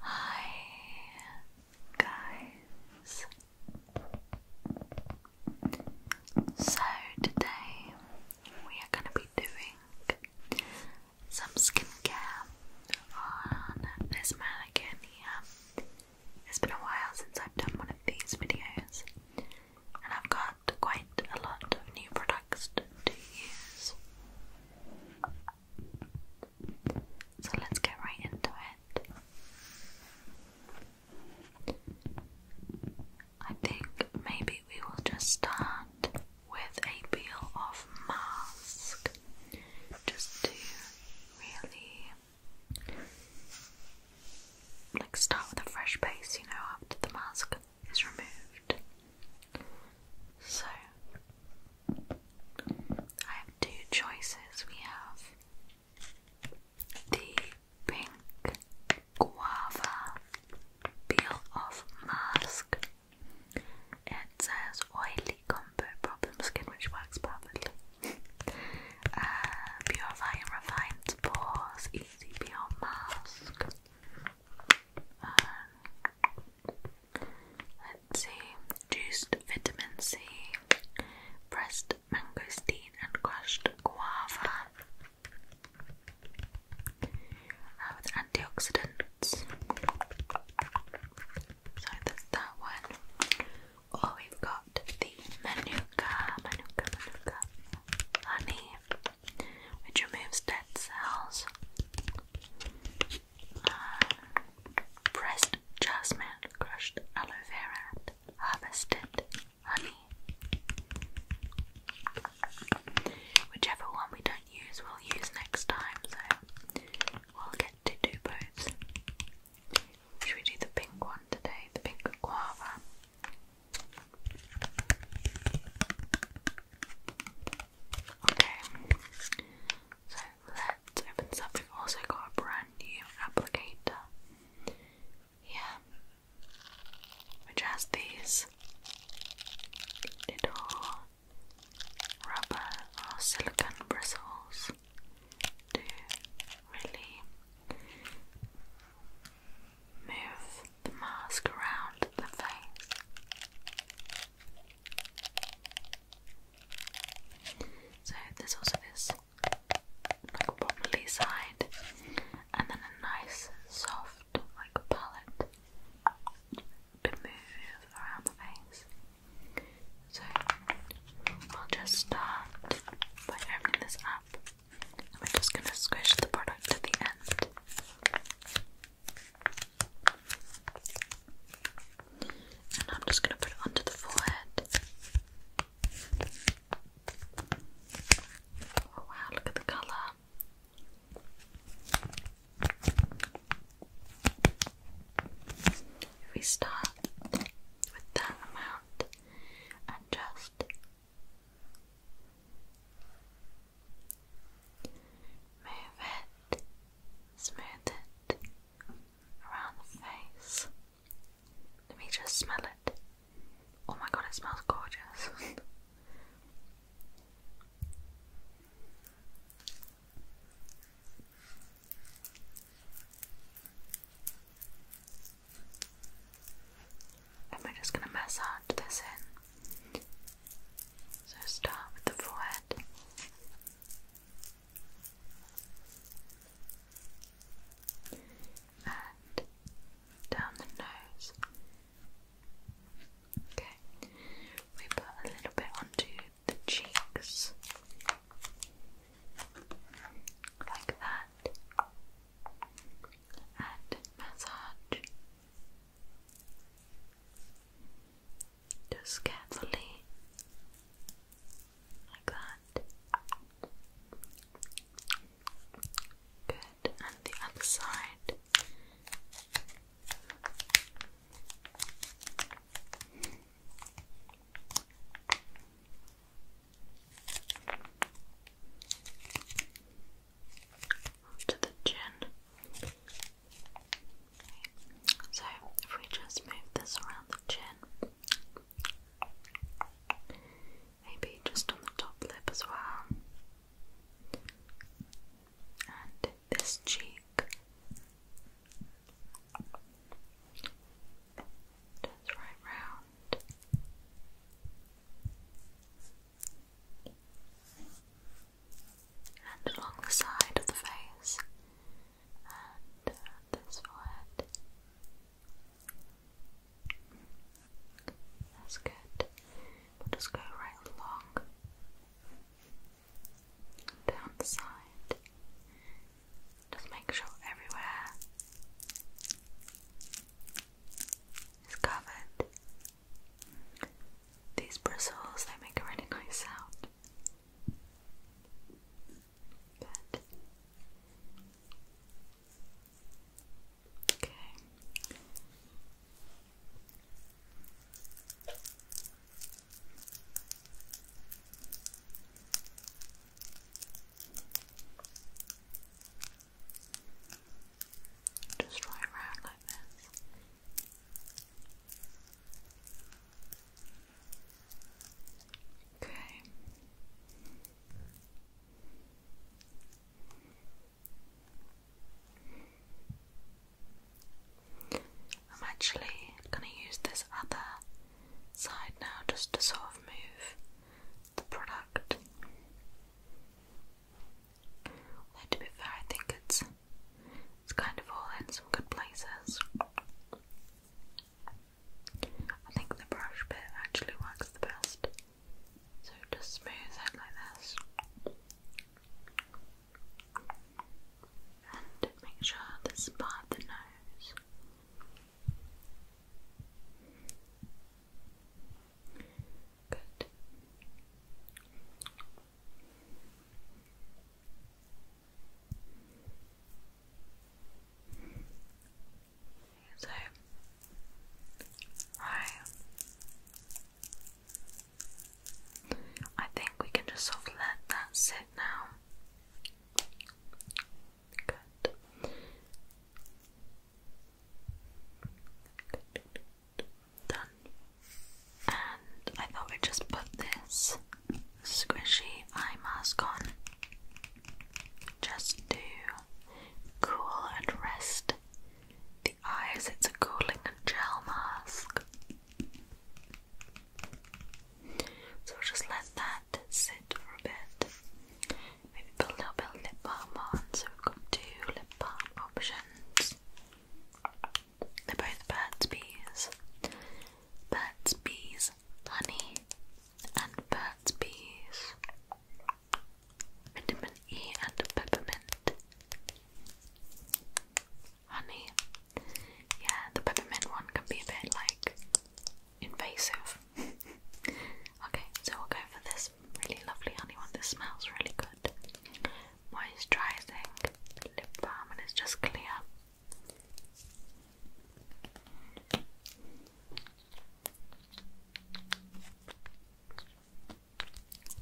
Hi, guys. So, today we are going to be doing some skincare on this mannequin here. Um, it's been a while since I've done one of these videos, and I've got quite a lot of new products to use. So let's get right into it. I think maybe we will just start with a peel off mask just to really like start with a fresh base, you know, after the mask is removed. So I have two choices. We have the pink guava peel off mask. It says oily combo problem skin, which works perfectly. uh, purify and refine pores, easy peel mask. Let's see. Juiced vitamin C, pressed mangosteen and crushed guava. with antioxidants. So that's that one. Or oh, we've got the manuka, manuka, manuka honey, which removes dead cells pressed jasmine, crushed aloe vera, harvested honey. Whichever one we don't use, we'll use next time, so we'll get to do both. Should we do the pink one today? The pink guava. Okay, so let's open this have also got a brand new applicator here, which has these little rubber or silicon bristles to really move the mask around the face. So there's also this like wobbly side and then a nice soft like palette to move around the face. So we'll just start by opening this up and we're just gonna squish the product to the end. And I'm just going to put it onto the forehead. Oh wow, look at the colour. If we start with that amount and just Move it, smooth it around the face. Let me just smell it. Oh my god, it smells gorgeous. and we're just going to massage this in. So start with the forehead. And down the nose. Okay, we put a little bit onto the cheeks, like that, and massage just carefully, like that. Good, and the other side. To the chin. So if we just move this around the chin, maybe just on the top lip as well, and this cheek. Just right round and along the side of the face and uh, this forehead. That's good. We'll just go right along down the side. Just make sure everywhere is covered these bristles, they make a really nice sound. Okay. Just right around like this. Okay. I'm actually going to use this other side now just to sort of move the product to be fair, I think it's it's kind of all in some good places. I think the brush bit actually works the best. So just smooth it like this. And make sure this part of the nose. Good. So right. I think we can just let that sit now. Good. Done. And I thought we'd just put this squishy eye mask on just to cool and rest the eyes. It's a cooling and gel mask. So just let that sit for a bit. Maybe a little bit lip balm So we've got two lip balm options. They're both Burt's Bees. Burt's Bees Honey and Burt's Bees Vitamin E and Peppermint. Honey. Yeah, the peppermint one can be a bit like invasive. okay, so we'll go for this really lovely honey one. This smells really good. Moisturizing lip balm, and it's just clear. So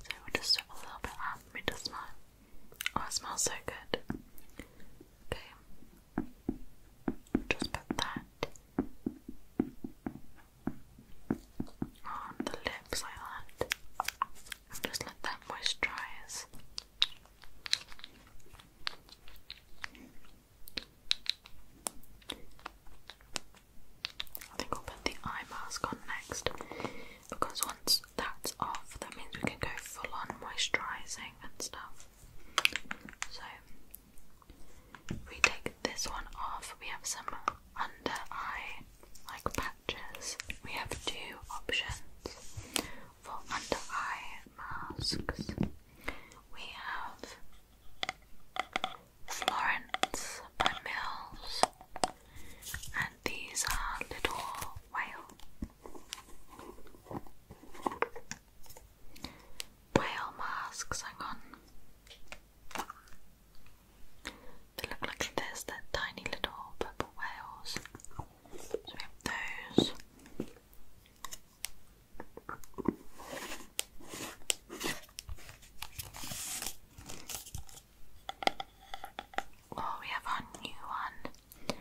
we'll just swip a little bit up. It does smell. Oh, it smells so good. Okay, just put that on the lips like that just let that moisturize. I think I'll put the eye mask on next because once that's off, that means we can go full on moisturising and stuff. So we take this one off, we have some under eye like patches. We have two options for under eye masks. We have Florence by Mills, and these are Little Whale whale masks. Hang on. They look like this. they tiny little purple whales. So we have those. Oh, we have our new one,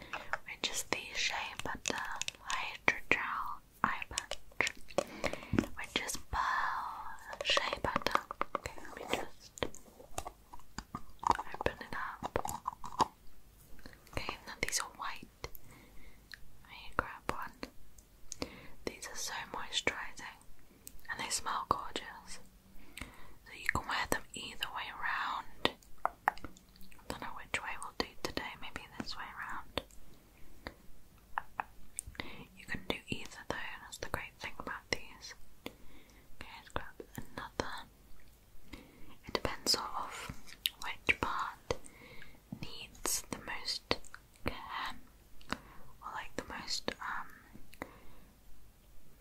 which is the Shea Butter Hydrogel eye patch, which is shea butter. Okay, let me just open it up. Okay, now these are white. I grab one. These are so moisturizing and they smell gorgeous. So you can wear them either way around. don't know which way we'll do today, maybe this way around. You can do either though, that's the great thing about these. Okay, let's grab another. It depends sort of which part needs the most care or like the most um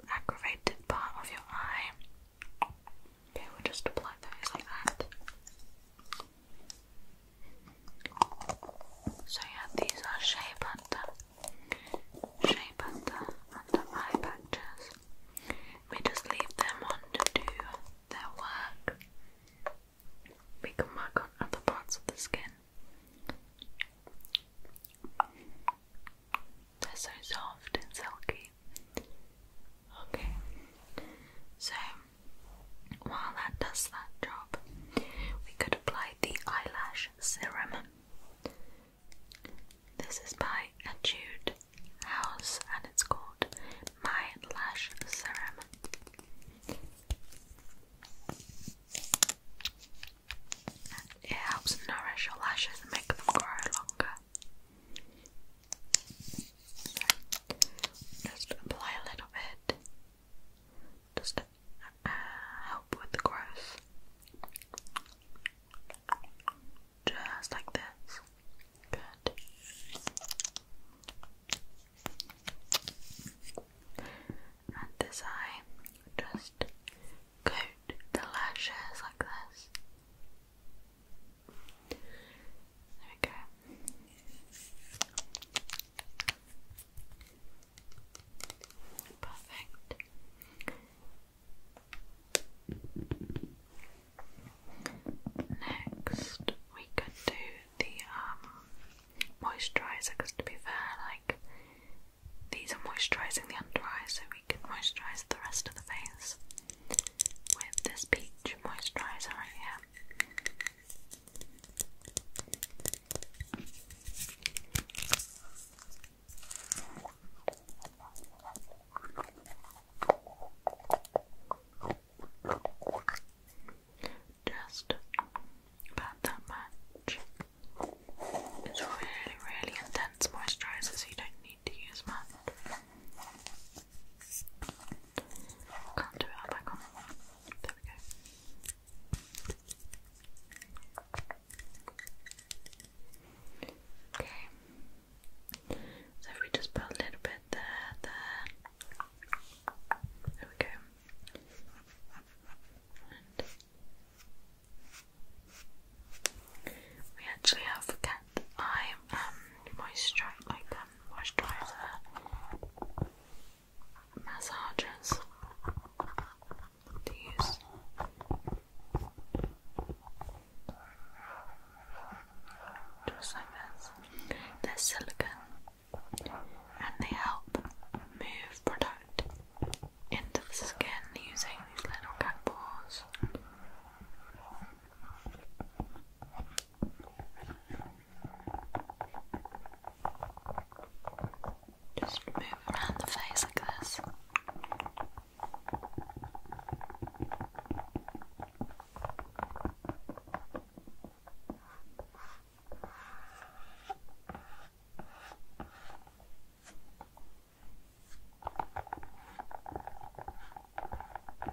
aggravated part of your eye. Okay, we'll just apply those like that. So yeah, these are shape under, shape under, under eye patches. We just leave them on to do their work. We can work on other parts of the skin. They're so soft and silky. Okay, so while that does that job, we could apply the eyelash serum. This is by Etude House and it's called My Lash Serum. It helps nourish your lashes and make them grow longer. just apply a little bit just uh, help with the growth. Just like this. Good. And this eye, just coat the lashes like this. There we go. Perfect. Next, we could do the um, moisturizer because, to be fair, like these are moisturizing the under eye, so we could moisturize the rest of the face with this peach moisturizer right here. Just about that much. It's really, really intense moisturizer, you don't need to use much we go. Okay. So if we just put a little bit there, there. There we go. we actually have cat eye um, moisturizer um, moisturiser massagers to Just like this. They're silicone and they help move product into the skin using these little cat paws. Just move around the face like this. Good. Okay.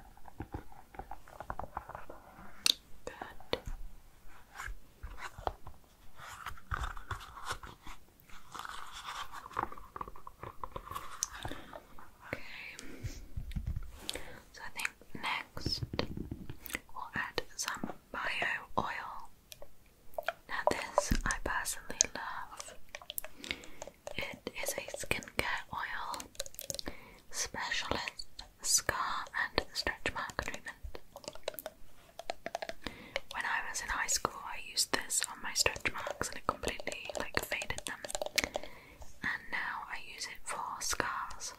So I think next we'll add some bio oil. Now this I personally love. It is a skincare oil specialist scar and stretch mark treatment. When I was in high school, I used this on my stretch marks and it completely like faded them. And now I use it for scars,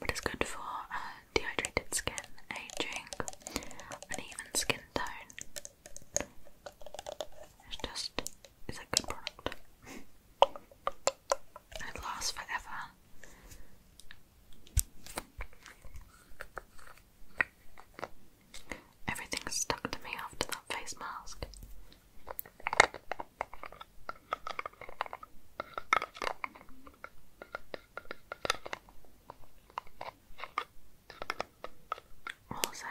but it's good for uh, dehydrated skin, aging, and even skin tone. It's just, it's a good product. it lasts forever. Everything stuck to me after that face mask. Also,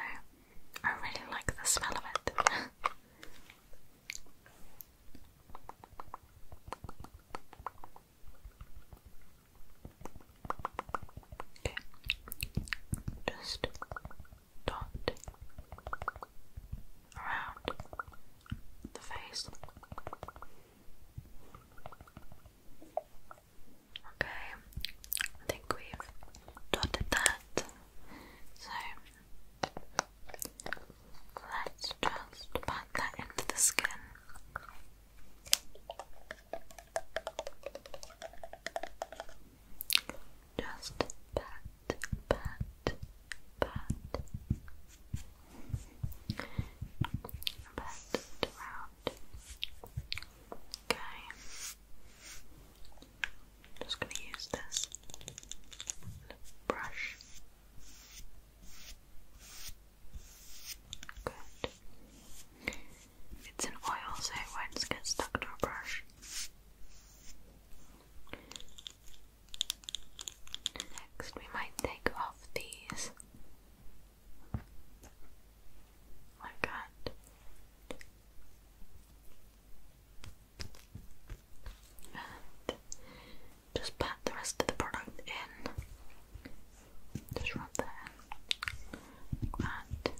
I really like the smell of it. Just dot around the face. Okay, I think we dotted that. So let's just pat that into the skin. Just pat, pat, pat. Pat around. Okay. I'm just going to use this brush. Good. It's an oil, so it won't get stuck to a brush. Next, we might take off these like that just pat the rest of the product in. Just rub that in. Like that.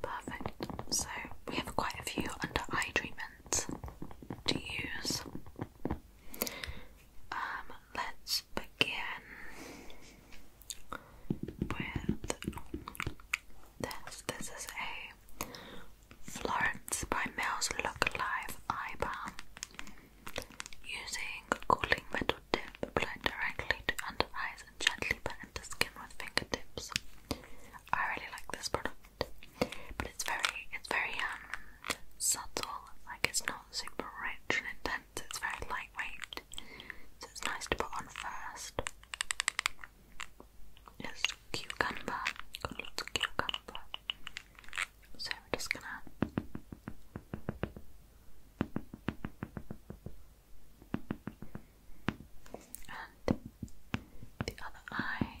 Perfect. So we have quite a few under eye treatments to use. Um, let's begin with this. This is a Florence by Mills Look Alive Eye Balm. Using a cooling metal tip applied directly to under eyes and gently put into skin with fingertips. I really like this product, but it's very, it's very um, subtle. Like it's not super rich and intense, it's very lightweight, so it's nice to put on first. It's cucumber, got lots of cucumber. So we're just gonna and the other eye.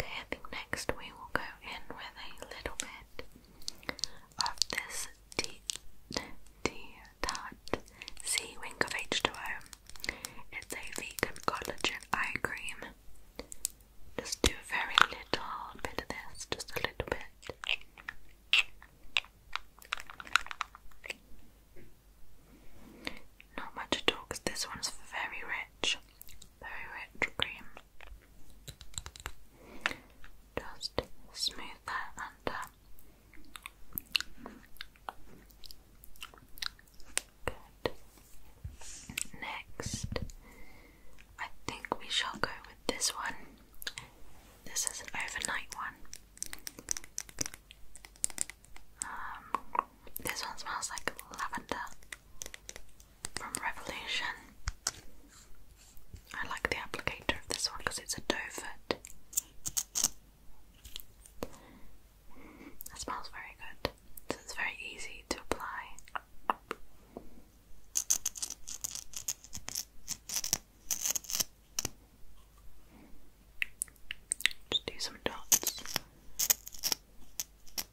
Okay, I think next we will go in with a little bit of this tea, wing of H2O. It's a vegan collagen eye cream. Just do a very little bit of this, just a little bit. Not much at all because this one's very rich very rich cream. Just smooth that under. Good. Next, I think we shall go with this one. This is an overnight one. Um, this one smells like lavender from Revolution. I like the applicator of this one because it's a doe foot. It smells very good, so it's very easy to apply. Just do some dots. Okay.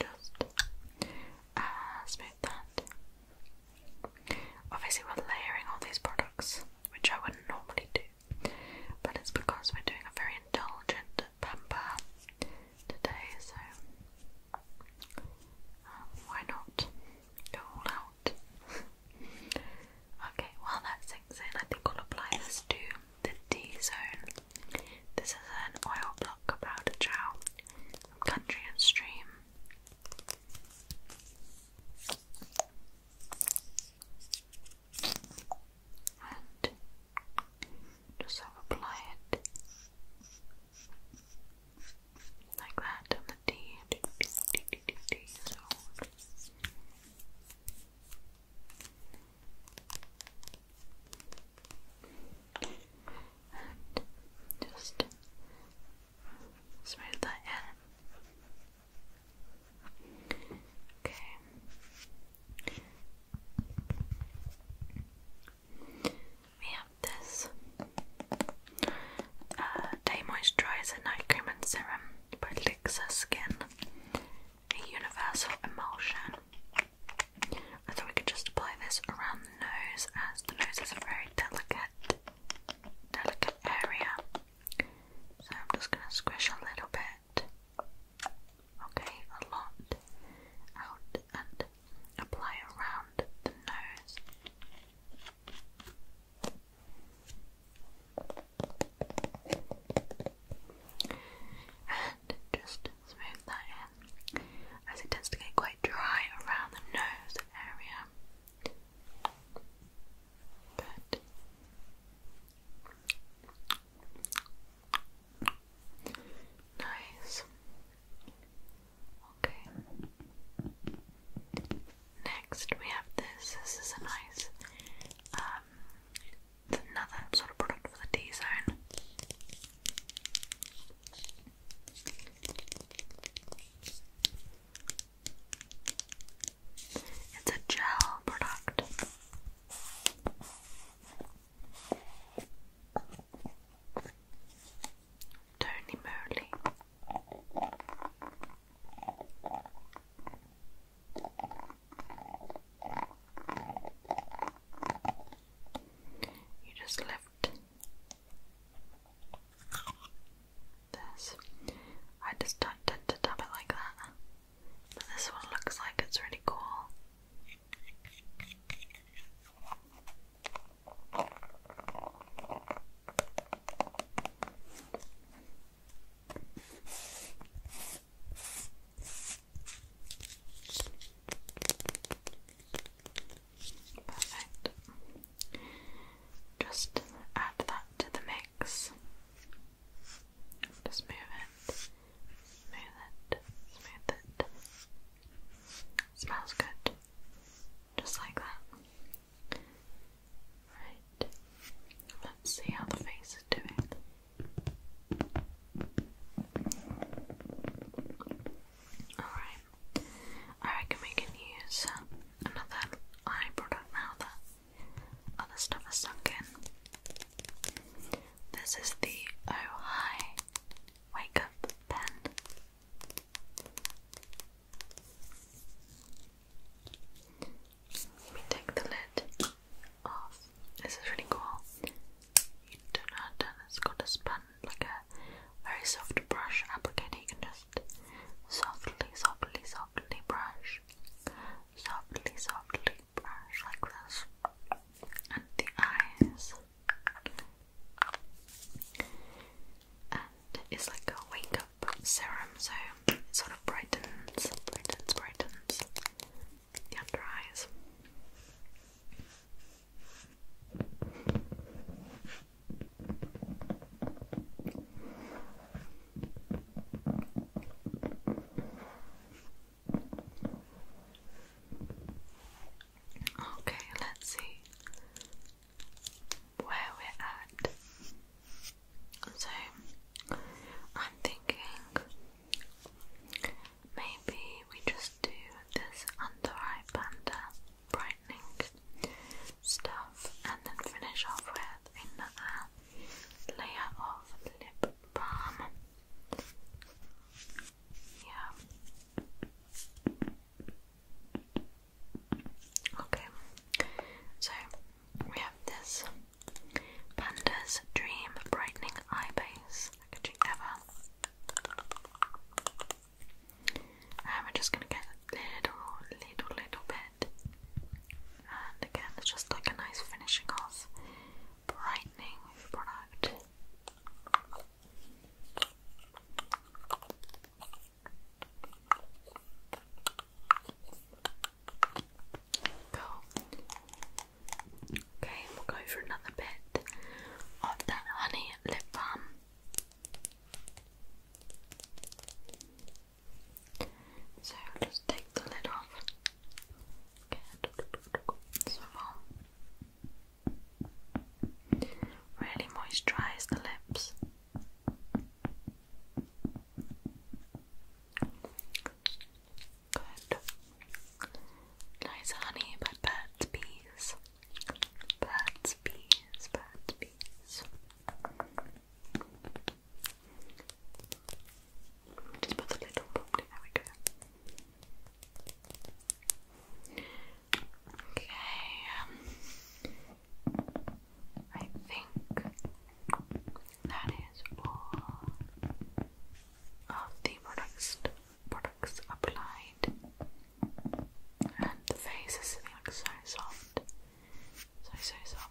Just uh, smooth that. Obviously, we're layering all these products, which I wouldn't normally do, but it's because we're doing a very indulgent Pemba today, so um, why not go all out? okay, while that sinks in, I think I'll apply this to the D zone. This is an oil block powder gel from Country and Stream and just apply it like that on the D. So. And just smooth that in. Okay. We have this uh, Day Moisturizer Night Cream and Serum by Lixa Skin, a universal emulsion. I thought we could just apply this around the nose as the nose is a very delicate, delicate area. So I'm just going to squish a little bit okay, a lot out and apply around the nose. And just smooth that in as it tends to get quite dry around the nose area. Nice. Okay. Next we have this. This is a nice um another sort of product for the T zone. It's a gel product. Tony Murley. You just left this. I just don't tend to dab it like that this one looks like it's really cool. Perfect. Just add that to the mix. Just move it, smooth it, smooth it. Smells good, just like that. Right, let's see how the face is doing. Alright, I reckon we can use another eye product now that other stuff has sunk in. This is the Oh Hi Wake Up Pen. Let me take the lid off. This is really cool. You don't It's got a sponge, like a very soft brush applicator. You can just softly, softly, softly brush. Softly, softly, brush like this, and the eyes, and it's like a wake up serum, so it sort of brightens, brightens, brightens the under eyes. Okay, let's see where we're at. So, I'm thinking maybe we just do this under eye panda brightening stuff and then finish off with another layer of lip lip Yeah. Okay. So we have this Panda's Dream Brightening Eye Base packaging ever. Um, I'm just gonna get a little, little, little bit and again it's just like a nice finishing off brightening product Cool. Okay, we'll go for another bit of that honey lip balm. So just take the lid off. Good. So on. Really moisturize the lips. Good. Nice honey by Bees. Burt's Bees, Burt's Bees. Just put a little there we go. Okay. Um, I think that is all of the products products applied. And the face is sitting so soft. So so soft.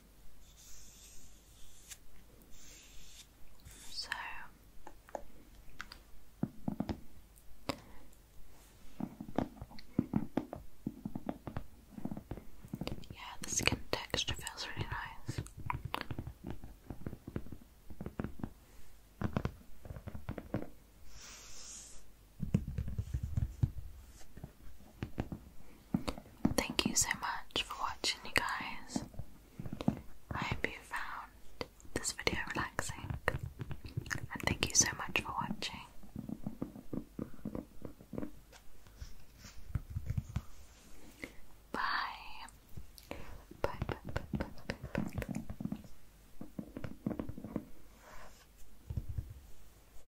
So yeah, the skin texture feels really nice. Thank you so much for watching, you guys. I hope you found this video relaxing, and thank you so much for watching. Bye. Bye, bye, bye, bye, bye, bye, bye.